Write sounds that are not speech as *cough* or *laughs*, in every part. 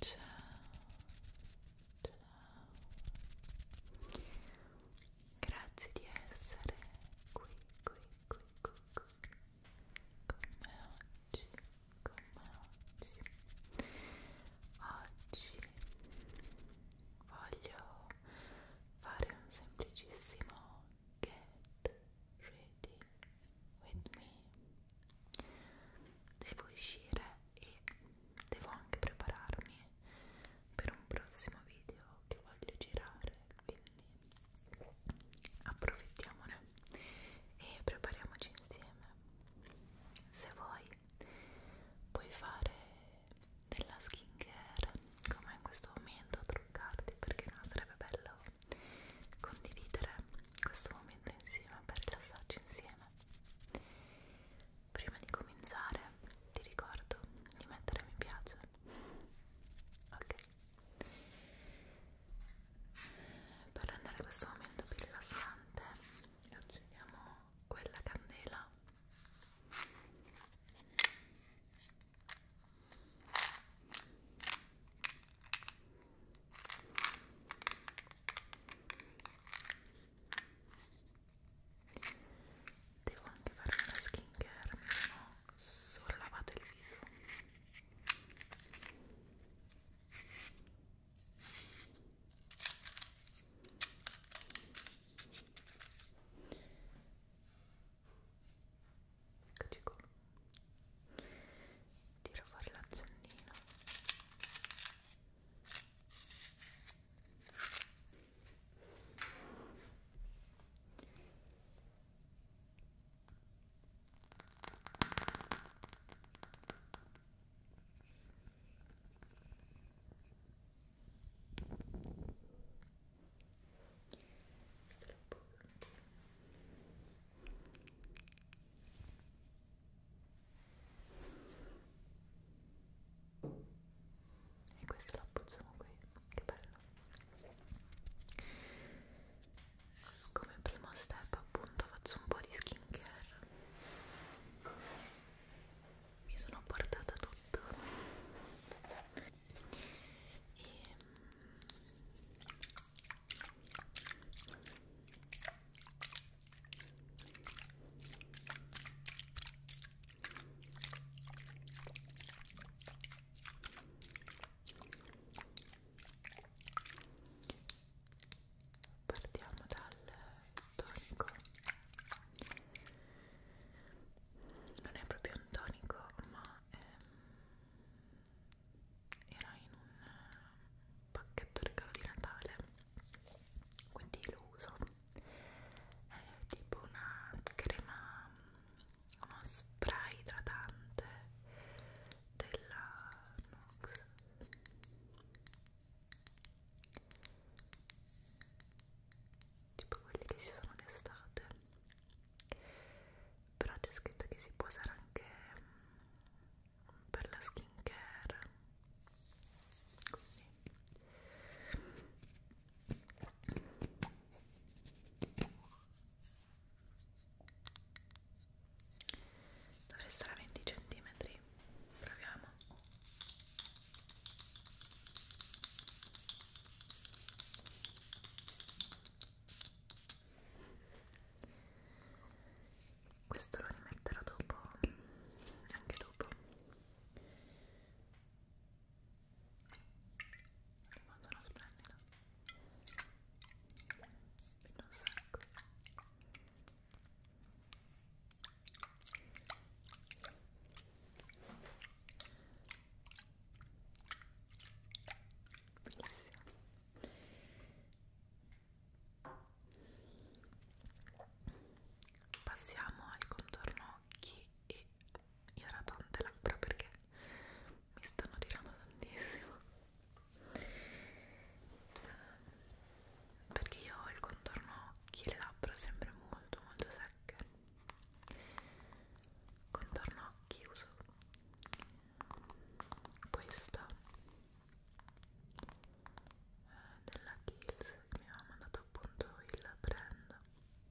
Ciao, ciao. Grazie di essere qui, qui, qui, qui, qui. Con me oggi, con me oggi. Oggi voglio fare un semplicissimo get ready with me. Devo uscire e devo anche prepararmi per un prossimo video che voglio girare, quindi approfittiamone e prepariamoci insieme. Se vuoi puoi fare della skin care come in questo momento a truccarti perché no sarebbe bello condividere questo momento insieme per rilassarci insieme prima di cominciare ti ricordo di mettere mi piace ok per rendere questo momento più rilassante accendiamo quella candela devo anche fare una skin care mi sono solo lavata il viso Eccoci qua. Tiro fuori l'accendino. E questo lo appoggiamo qui, che bello. Come primo step appunto faccio un po' di skin care mi sono portata tutto e partiamo dal tonico non è proprio un tonico ma ehm, era in un eh, pacchetto regalo di Natale quindi lo uso è tipo una crema uno spray idratante della Nox tipo quelli che si sono d'estate però c'è scritto che si può usare anche mm, per la skincare così dovrei stare a 20 centimetri proviamo questo lo rimetterò dopo anche dopo quando lo splendido un sacco Passiamo al contorno occhi e idratante labbra perché mi stanno tirando tantissimo. Um, perché io ho il contorno occhi e le labbra sempre molto molto secche contorno occhi uso questa eh, della Kills che mi aveva mandato appunto il brand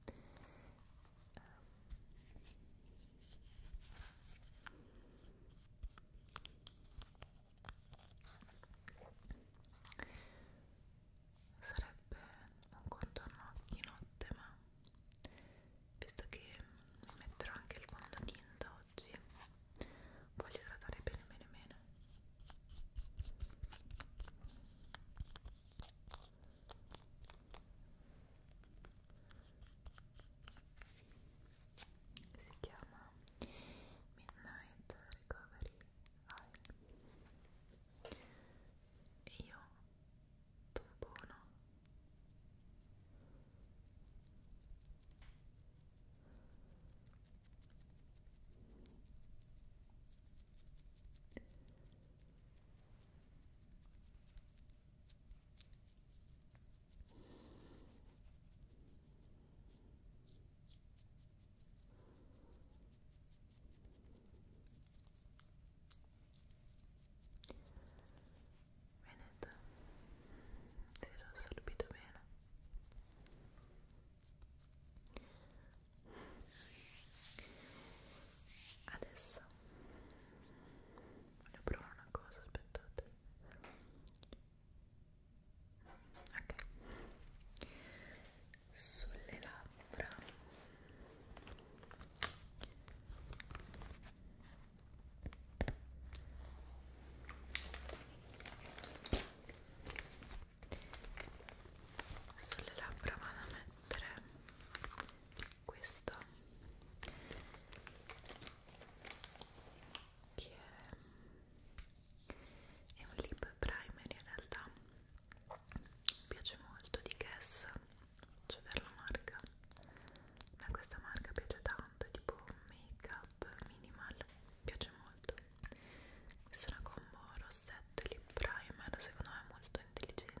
eh sarebbe un contorno di notte ma visto che mi metterò anche il fondotinta oggi voglio radare bene bene bene si chiama Midnight Recovery Vai. E io tampono. Io Veneto, ti ho assorbito bene. Adesso voglio provare una cosa, aspettate ok sulle labbra sulle labbra vado a mettere questo che è è un lip primer in realtà mi piace molto di Guess c'è per la marca ma questa marca piace tanto è tipo make up minimal mi piace molto questa è una combo rossetto e lip primer secondo me è molto intelligente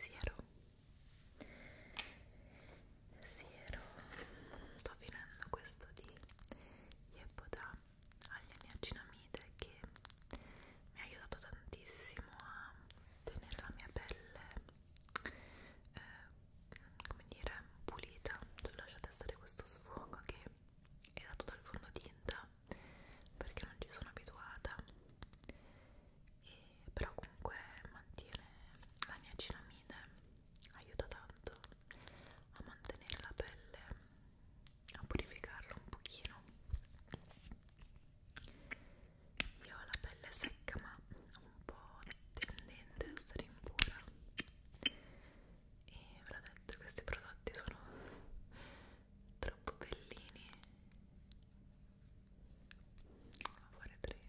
siero siero sto finendo questo di Yepoda agli aniacinamide che mi ha aiutato tantissimo a tenere la mia pelle eh, come dire pulita lasciate stare questo sfogo che è dato dal fondotinta perché non ci sono abituata e, però comunque mantiene la mia cinamide aiuta tanto a mantenere la pelle a purificarla un pochino io ho la pelle secca ma un po' tendente a stare impura e ve l'ho detto questi prodotti sono troppo bellini a fare tracing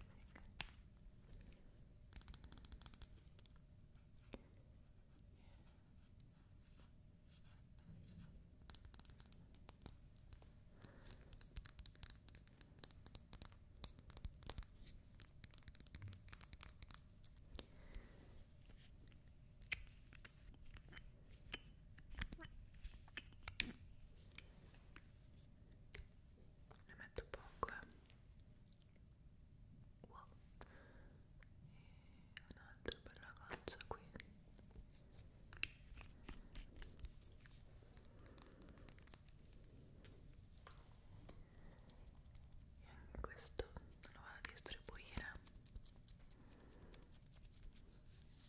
ne metto poco eh. wow. e un'altra bella goccia qui e anche questo lo vado a distribuire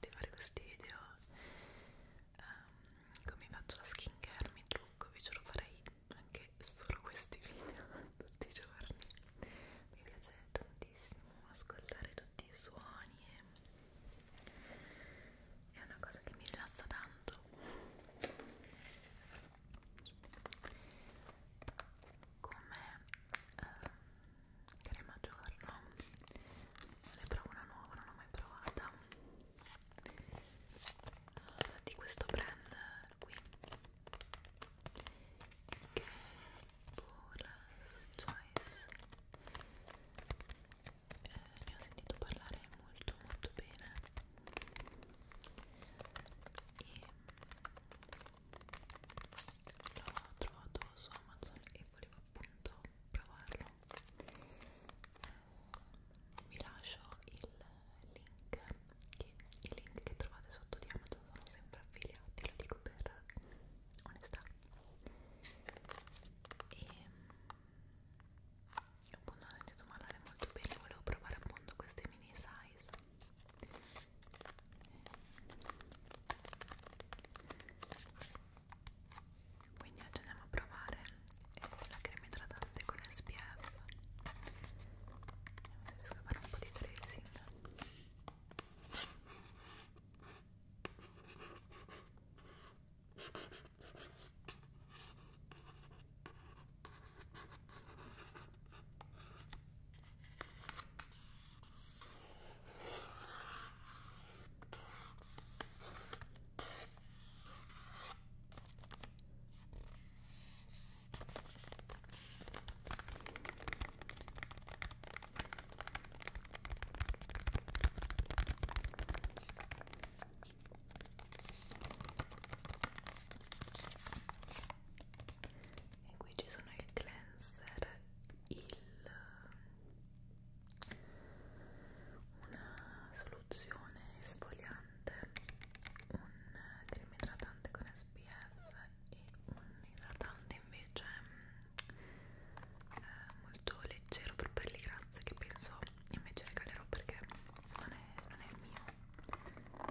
di fare questi video um, come faccio la skin care, mi trucco, vi giuro farei anche solo questi video *laughs* tutti i giorni mi piace tantissimo ascoltare tutti i suoni e è una cosa che mi rilassa tanto come eh, crema giorno ne provo una nuova, non l'ho mai provata ah, di questo brand qui che è Paula's Choice eh, ne ho sentito parlare molto molto bene e l'ho trovato su Amazon e e volevo appunto provarlo eh, vi lascio il link che i link che trovate sotto di Amazon sono sempre affiliati lo dico per onestà e appunto ho sentito parlare molto bene volevo provare appunto queste mini size quindi oggi andiamo a provare eh, la crema idratante con SPF vediamo se riesco a fare un po' di tracing e qui ci sono il cleanser il, una soluzione esfoliante, un crema idratante con SPF e un idratante invece eh, molto leggero per pelli grasse che penso invece regalerò perché non è, non è il mio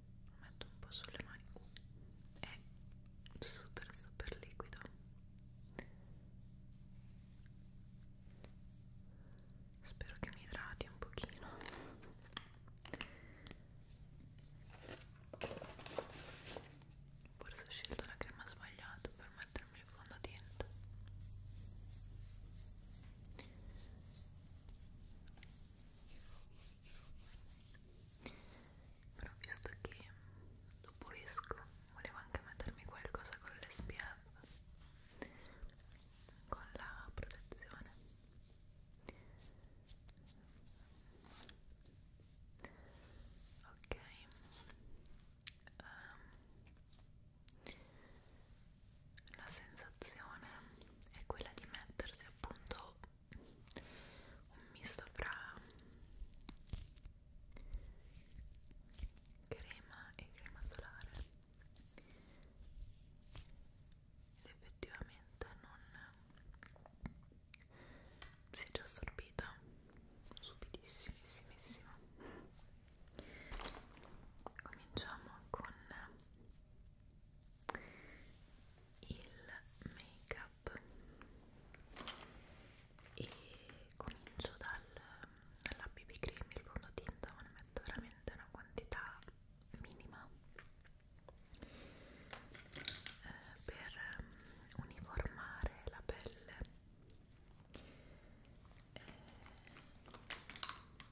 lo metto un po' sulle mani è super super liquido spero che mi idrati un pochino forse ho scelto la crema sbagliata per mettermi il fondotinta però visto che dopo esco volevo anche mettermi qualcosa con l'SPF con la protezione ok um, la sensazione è quella di mettersi appunto un misto fra crema e crema solare ed effettivamente non si è già assorbita subitissimissima cominciamo con il make up e comincio dal, dalla BB cream, il fondotinta, ma ne metto veramente una quantità minima eh, per ehm, uniformare la pelle eh,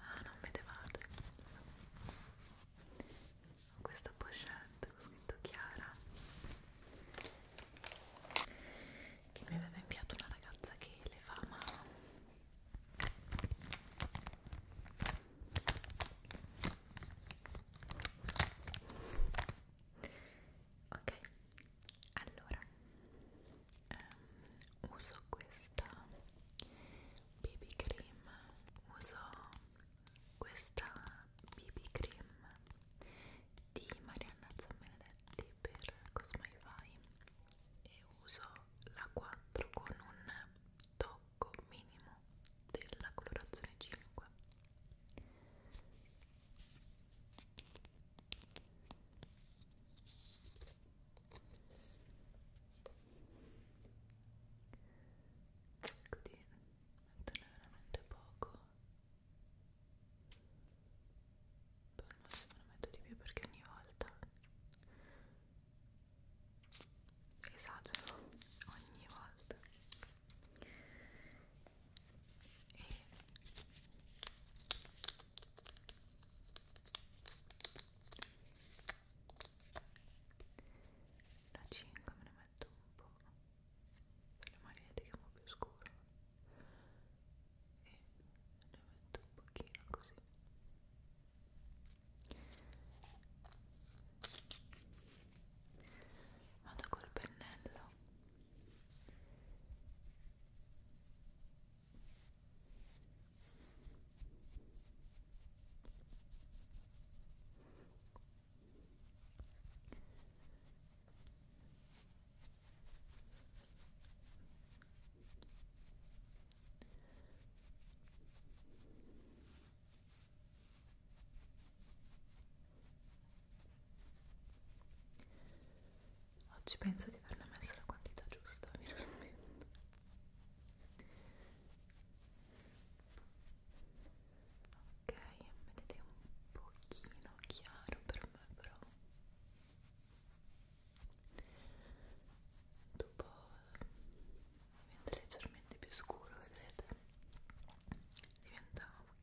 Ah, non vedevate? Ho questa pochette con scritto Chiara che mi aveva inviato una ragazza che le fa ma ok allora um, uso questa BB cream uso questa BB cream di Marianna Zambenedetti per Cosmify e uso la 4 con un tocco minimo della colorazione 5 cerco di metterne veramente poco poi al massimo ne metto di più perché ogni volta esagero ogni volta e la 5 me ne metto un po' per le magliette che è un po' più scuro e ne metto un pochino così vado col pennello Oggi penso di aver messo la quantità giusta, finalmente ok vedete un pochino chiaro per me però dopo diventa leggermente più scuro vedrete diventa ok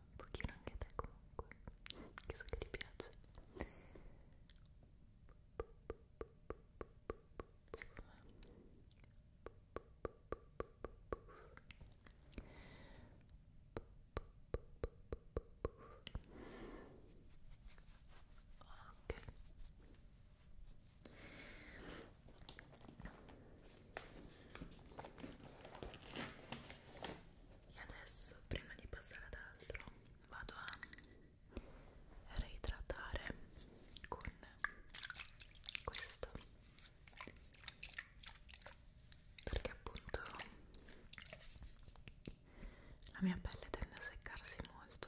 un pochino anche te comunque che so che ti piace ok e adesso prima di passare ad altro vado a reidratare con questo perché appunto la mia pelle tende a seccarsi molto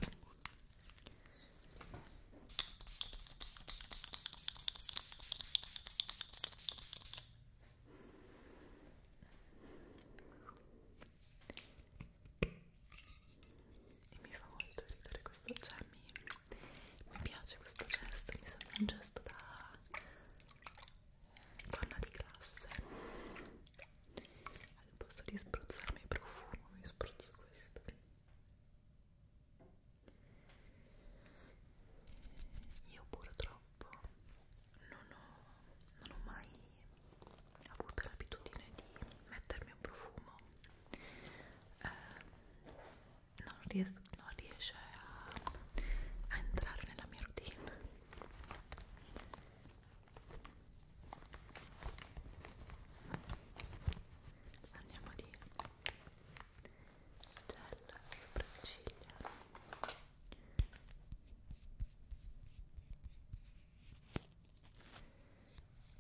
e mi fa molto ridere questo, cioè mi, mi piace questo gesto, mi sembra un gesto da donna di classe al posto di spruzzarmi il profumo mi spruzzo questo io purtroppo non ho, non ho mai avuto l'abitudine di mettermi un profumo, eh, non, ries non riesce a, a entrare nella mia routine. Andiamo di gel sopracciglia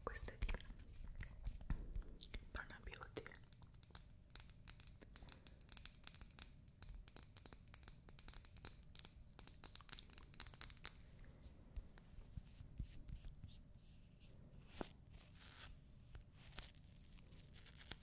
questo è di Prana Beauty questo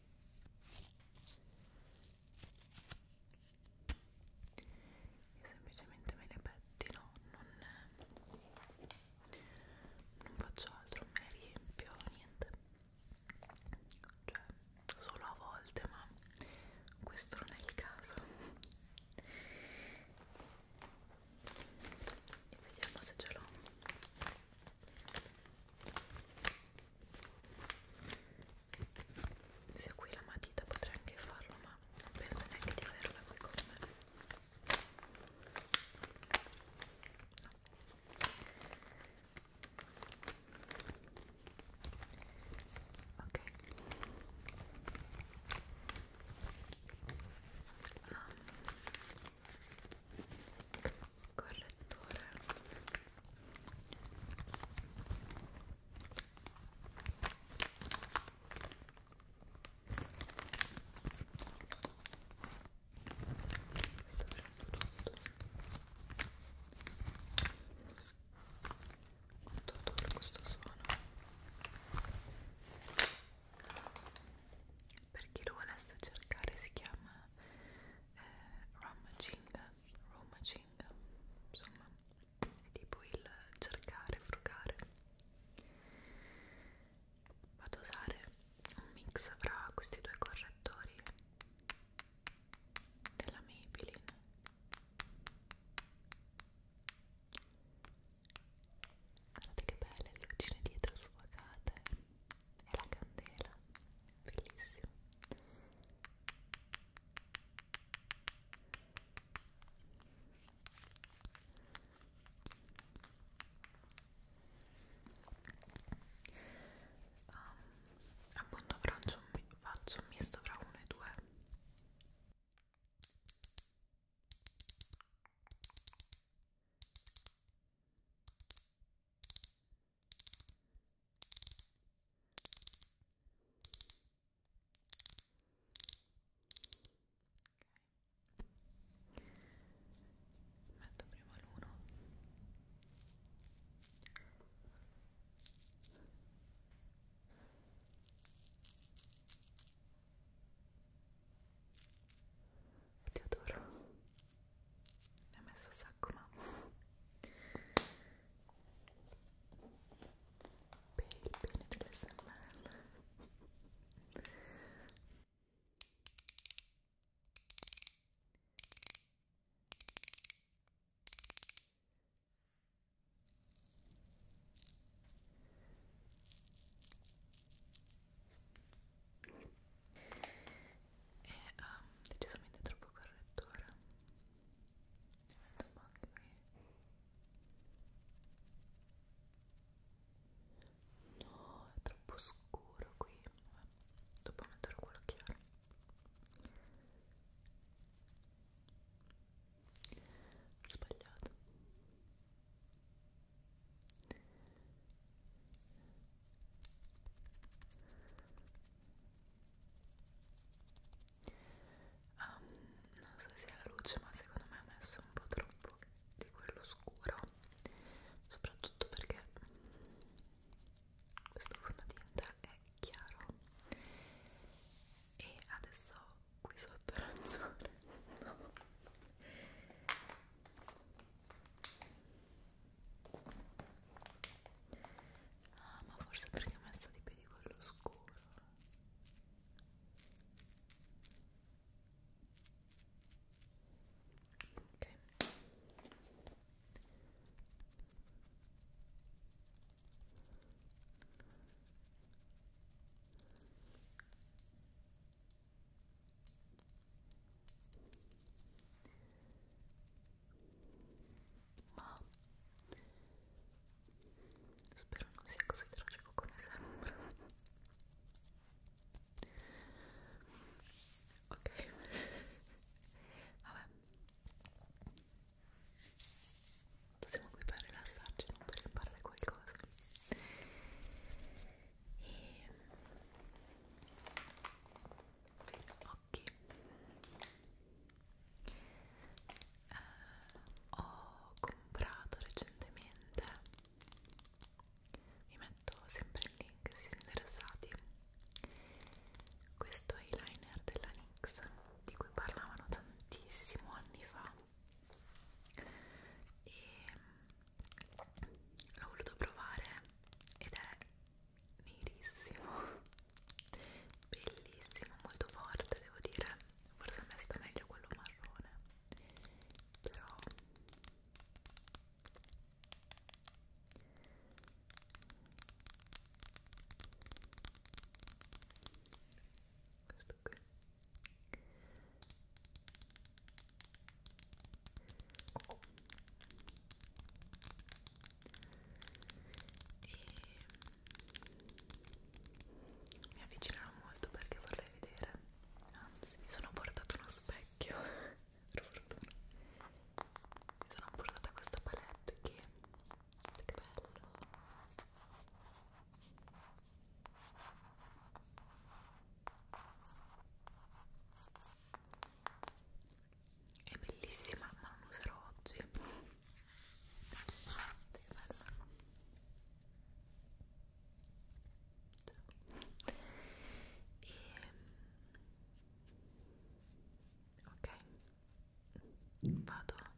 io semplicemente me le pettino non, non faccio altro me le riempio niente cioè solo a volte ma questo non è il caso vediamo se ce l'ho se ho qui la matita potrei anche farlo ma non penso neanche di averla qui con me no. ok um, correttore questo prendo tutto tutto tutto questo suono per chi lo volesse cercare si chiama eh, Rum Jingle roaming, insomma, è tipo il cercare, frugare. Vado a usare un mix fra questi due correttori della Maybelline guardate che belle le lucine dietro sfocate e la candela bellissimo appunto faccio un, faccio un misto fra uno e due Ok. Metto prima l'uno. Ti adoro ne ho messo un sacco ma per il bene dell'SMR è um, ehm, decisamente troppo correttore ne metto un po' anche qui no, è troppo scuro qui Vabbè, dopo metterò quello chiaro sbagliato um, non so se sia la luce ma secondo me ha messo un po' troppo di quello scuro soprattutto perché questo fondotinta è chiaro e adesso qui sotto arancione no. Ah, ma forse perché ho messo di più di quello scuro. Ok ma spero non sia così tragico come sembra ok vabbè siamo qui per rilassarci non per imparare qualcosa e occhi eh, ho comprato recentemente vi metto sempre il link se siete interessati questo eyeliner della NYX di cui parlavano tantissimo anni fa e l'ho voluto provare ed è nerissimo bellissimo molto forte devo dire forse a me sta meglio quello marrone però questo qui e mi avvicinerò molto perché vorrei vedere anzi mi sono portato uno specchio *laughs* per fortuna mi sono portata questa palette che che bello è bellissima ma non userò oggi guardate che bella e ehm, ok vado a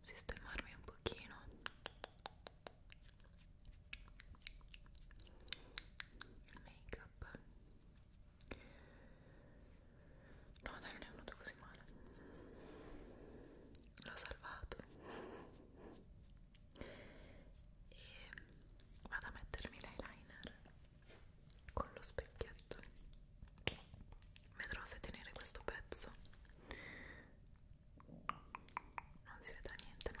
sistemarmi un pochino il make app no dai non è venuto così male l'ho salvato e vado a mettermi l'eyeliner con lo specchietto vedrò se tenere questo pezzo non si vede niente no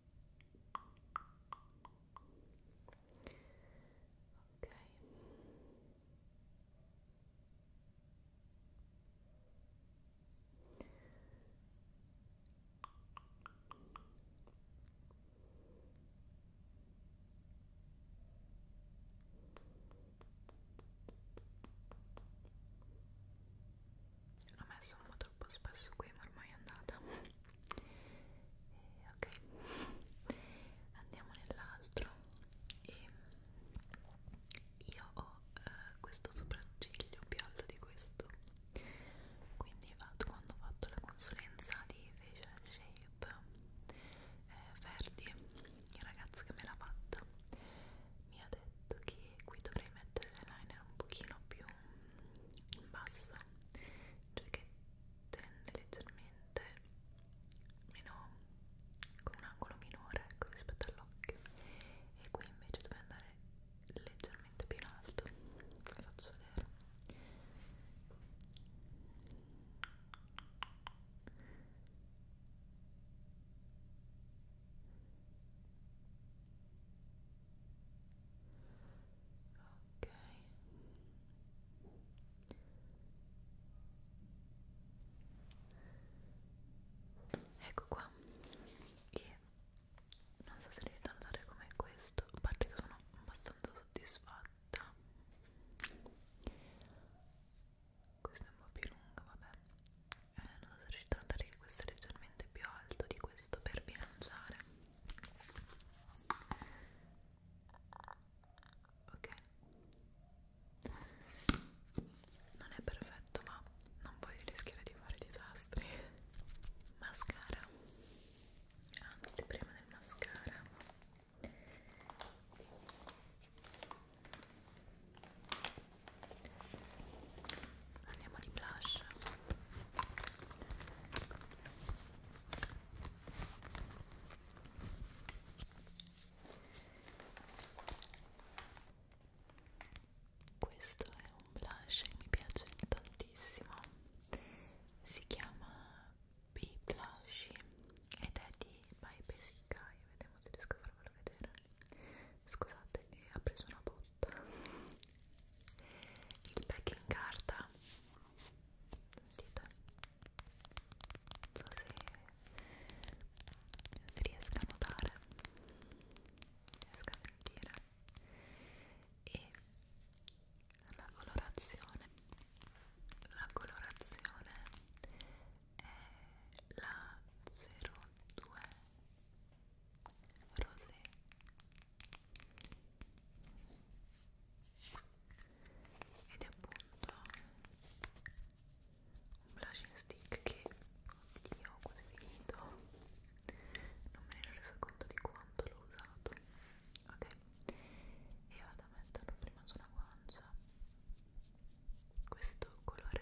ok L'ho messo un po' troppo spesso qui, ma ormai è andata e ok andiamo nell'altro e io ho eh, questo sopracciglio più alto di questo quindi vado, quando ho fatto la consulenza di facial shape eh, Verdi il ragazzo che me l'ha fatta mi ha detto che qui dovrei mettere l'eyeliner un pochino più in basso cioè che tende leggermente meno con un angolo minore ecco, rispetto all'occhio e qui invece deve andare leggermente più in alto vi faccio vedere ok ecco qua e non so se riesco a notare com'è questo a parte che sono abbastanza soddisfatta questa è un po' più lunga vabbè eh, non so se riuscite a notare che questo è leggermente più alto di questo per bilanciare ok non è perfetto ma non voglio rischiare di fare disastri mascara anzi prima del mascara andiamo di blush questo è un blush che mi piace tantissimo si chiama B Blush ed è di By Basic Guy vediamo se riesco a farvelo vedere scusate, eh, ha preso una botta il pack in carta sentite non so se si riesca a notare riesca a sentire e la colorazione la colorazione è la 02 rosé ed è appunto un blushing stick che oddio ho quasi finito non me ne ero resa conto di quanto l'ho usato ok e vado a metterlo prima sulla guancia questo colore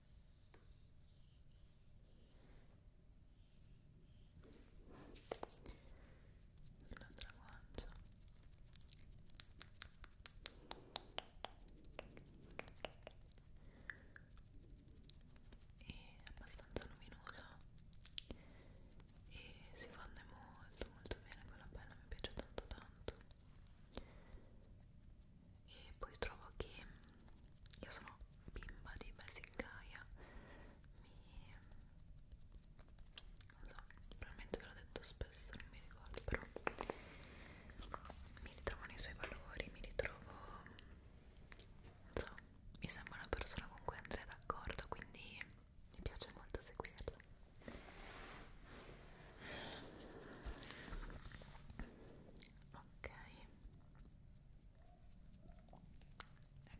l'altra guancia è abbastanza luminoso e si fonde molto molto bene con la pelle mi piace tanto tanto e poi trovo che io sono bimba di Basic Gaia mi non so, probabilmente ve l'ho detto spesso, non mi ricordo però mi ritrovo nei suoi valori, mi ritrovo non so, mi sembra una persona con cui andrei d'accordo quindi mi piace molto seguirla ok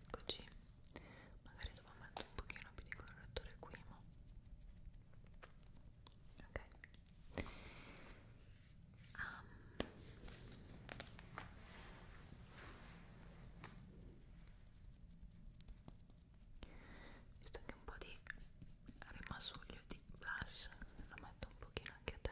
eccoci magari dopo metto un pochino più di correttore qui ma ok um. visto che un po' di rimasuglio di blush lo metto un pochino anche a te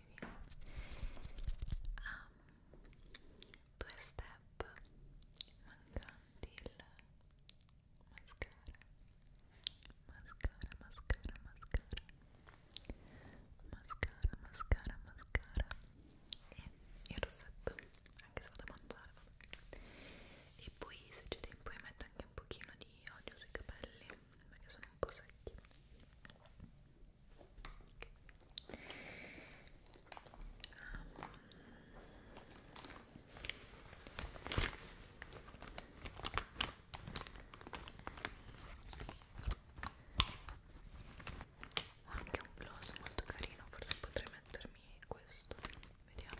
qui via um, due step mancanti il mascara mascara mascara mascara mascara mascara mascara e il rossetto anche se vado a mangiare e poi se c'è tempo io metto anche un pochino di olio sui capelli perché sono un po' secchi okay. Ah. um. Ho anche un gloss molto carino, forse potrei mettermi questo, vediamo.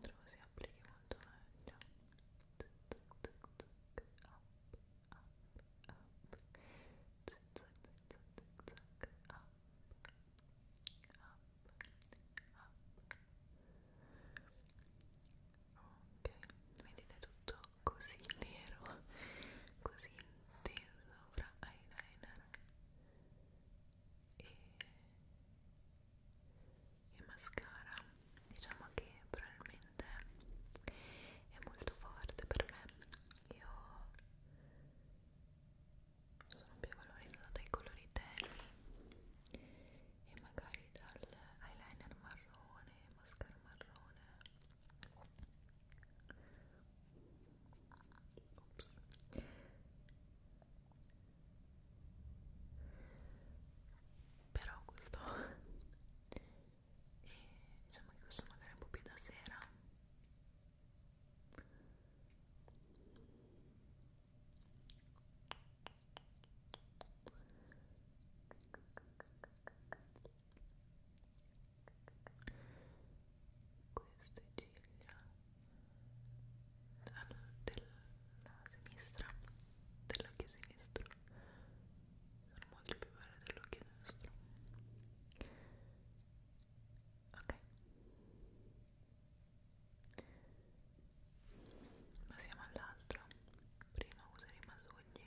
Trovo si applichi molto meglio. Up, up, up. Up, up, up. Ok, vedete tutto così nero, così intenso fra eyeliner e, e mascara diciamo che probabilmente è molto forte per me io sono più valorizzata dai colori tenui e magari dal eyeliner marrone mascara marrone Ops però questo e *laughs* diciamo che questo magari un po' più da sera queste ciglia della sinistra dell'occhio sinistro sono molto più belle dell'occhio destro ok passiamo all'altro prima useremo i masugli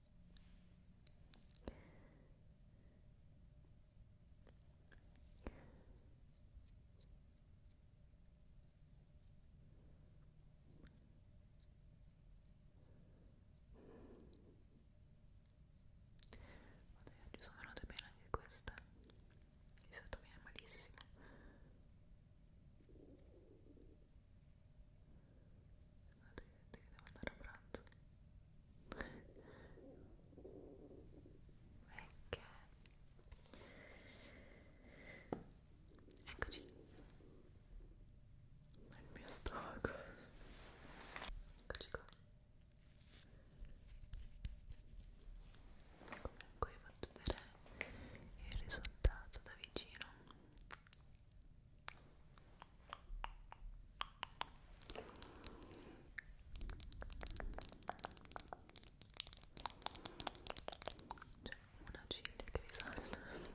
oggi sono venute bene anche queste di solito viene malissimo scusate che devo andare a pranzo perché eccoci il mio stomaco eccoci qua comunque vi faccio vedere il risultato da vicino c'è una ciglia che risalta però mi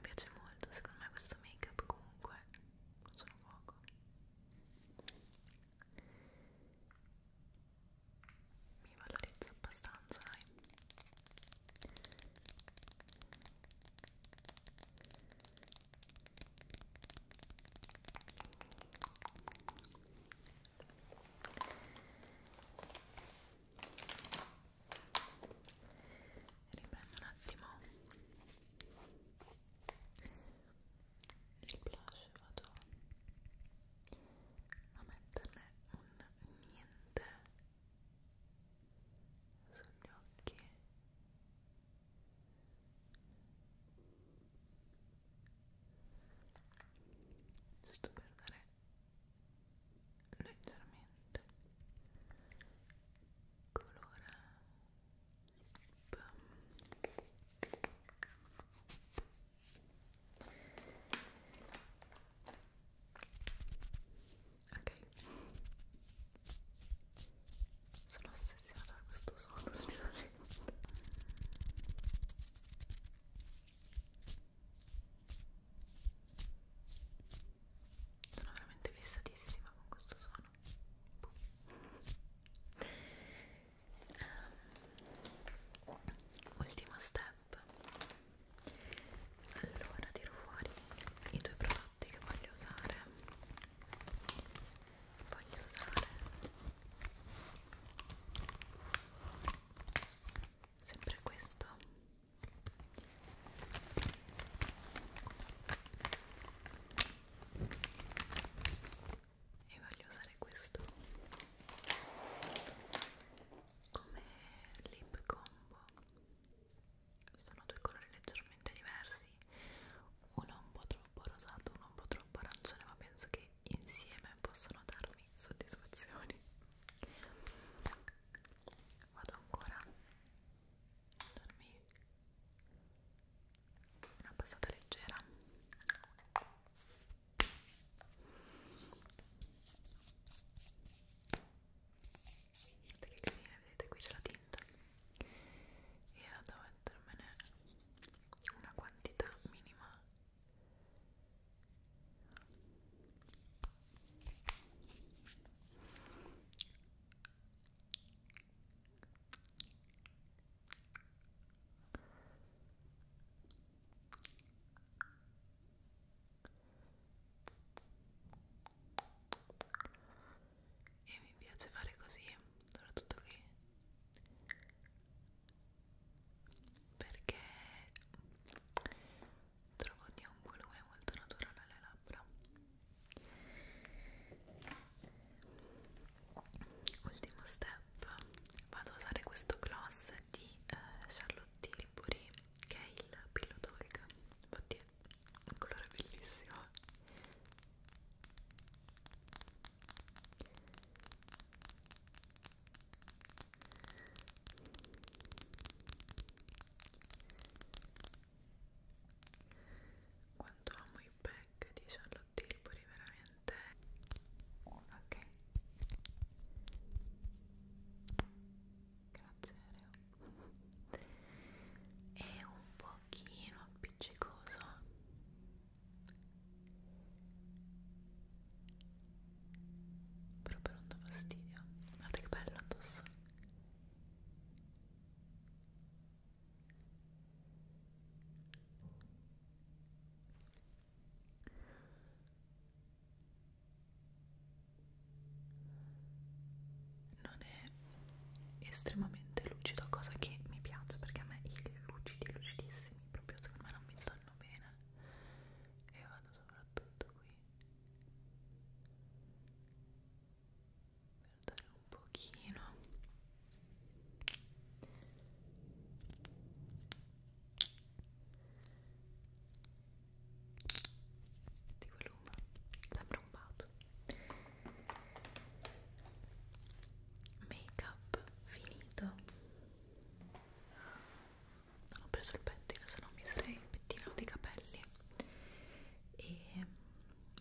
piace molto, secondo me questo make up comunque sono poco mi valorizza abbastanza dai riprendo un attimo il blush vado a metterne un niente sugli occhi giusto per dare leggermente colore ok sono ossessionata da questo suono ultimamente sono veramente fissatissima con questo suono ultimo step allora tiro fuori i due prodotti che voglio usare voglio usare sempre questo e voglio usare questo come lip combo sono due colori leggermente diversi uno un po' troppo rosato uno un po' troppo arancione ma penso che insieme possono darmi soddisfazioni vado ancora a darmi una passata leggera guardate che carina vedete qui c'è la tinta e vado a mettermene una quantità minima e mi piace fare così soprattutto qui perché trovo di un volume molto naturale alle labbra ultimo step vado a usare questo gloss di eh, Charlotte Tilbury che è il Pillow Talk oddio, un colore bellissimo quanto amo i pack di Charlotte tilburi veramente ok grazie Reo è un pochino appiccicoso però per un fastidio guardate che bello addosso non è estremamente lucido, cosa che mi piace perché a me i lucidi, lucidissimi, proprio secondo me non mi stanno bene e vado soprattutto qui per dare un un pochino di volume sembra un bato make up finito non ho preso il pettine se no mi sarei pettinato i capelli e,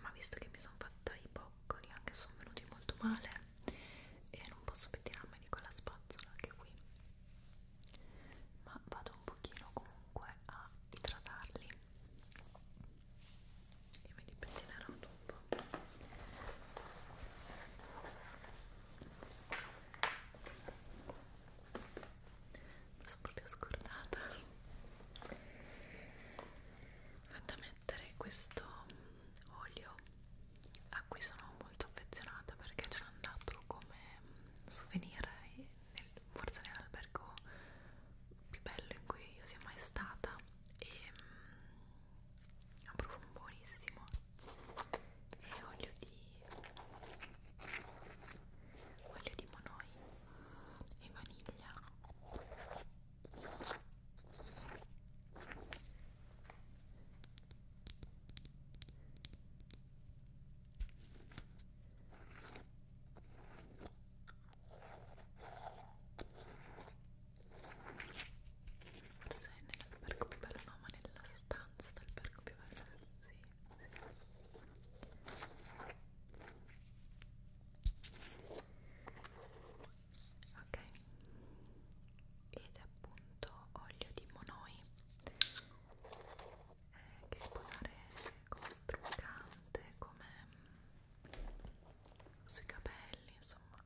ma visto che mi sono fatta i boccoli anche se sono venuti molto male e non posso pettinarmi di quella spazzola che è qui ma vado un pochino comunque a idratarli e me li pettinerò dopo mi sono proprio scordata vado a mettere questo olio a cui sono molto affezionata perché ce l'ho andato come mm, souvenir nel, forse nell'albergo più bello in cui io sia mai stata e ha mm, un profumo buonissimo è olio di olio di monoi e vaniglia Forse nel parco più bello, no, ma nella stanza del parco più bello, sì. sì ok ed è appunto olio di monoi eh, che si può usare come struccante come sui capelli insomma ok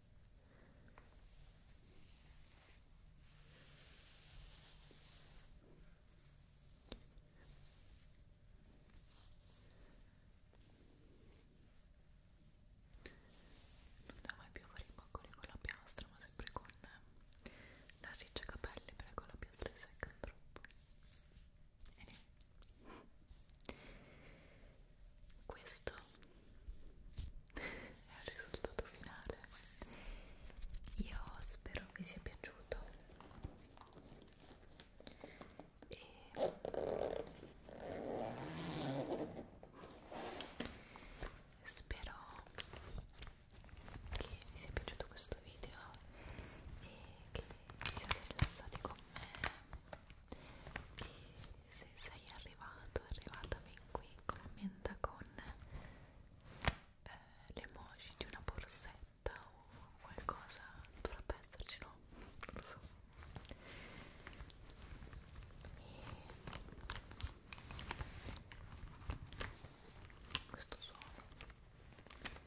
non devo mai più fare i boccoli con la piastra ma sempre con la eh, riccia capelli perché con la piastra secca troppo e niente questo è il risultato finale io spero vi sia piaciuto e spero che vi sia piaciuto questo video e che siate rilassati con me e se sei arrivato, arrivata fin qui, commenta con eh, l'emoji di una borsetta o qualcosa, dovrebbe esserci no? non lo so e questo suono perché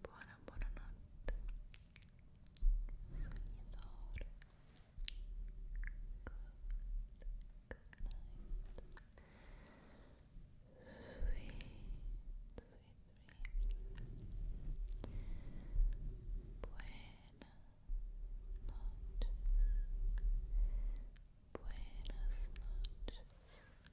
buona buonanotte sognatore good, good night sweet, sweet dreams buena noches buenas noches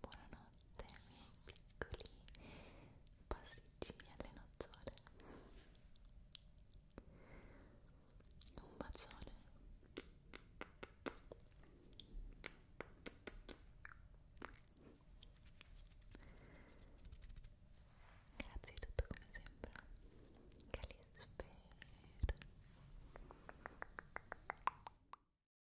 Buonanotte miei piccoli pasticcini alle nocciole Un bacione Grazie di tutto come sempre Calisper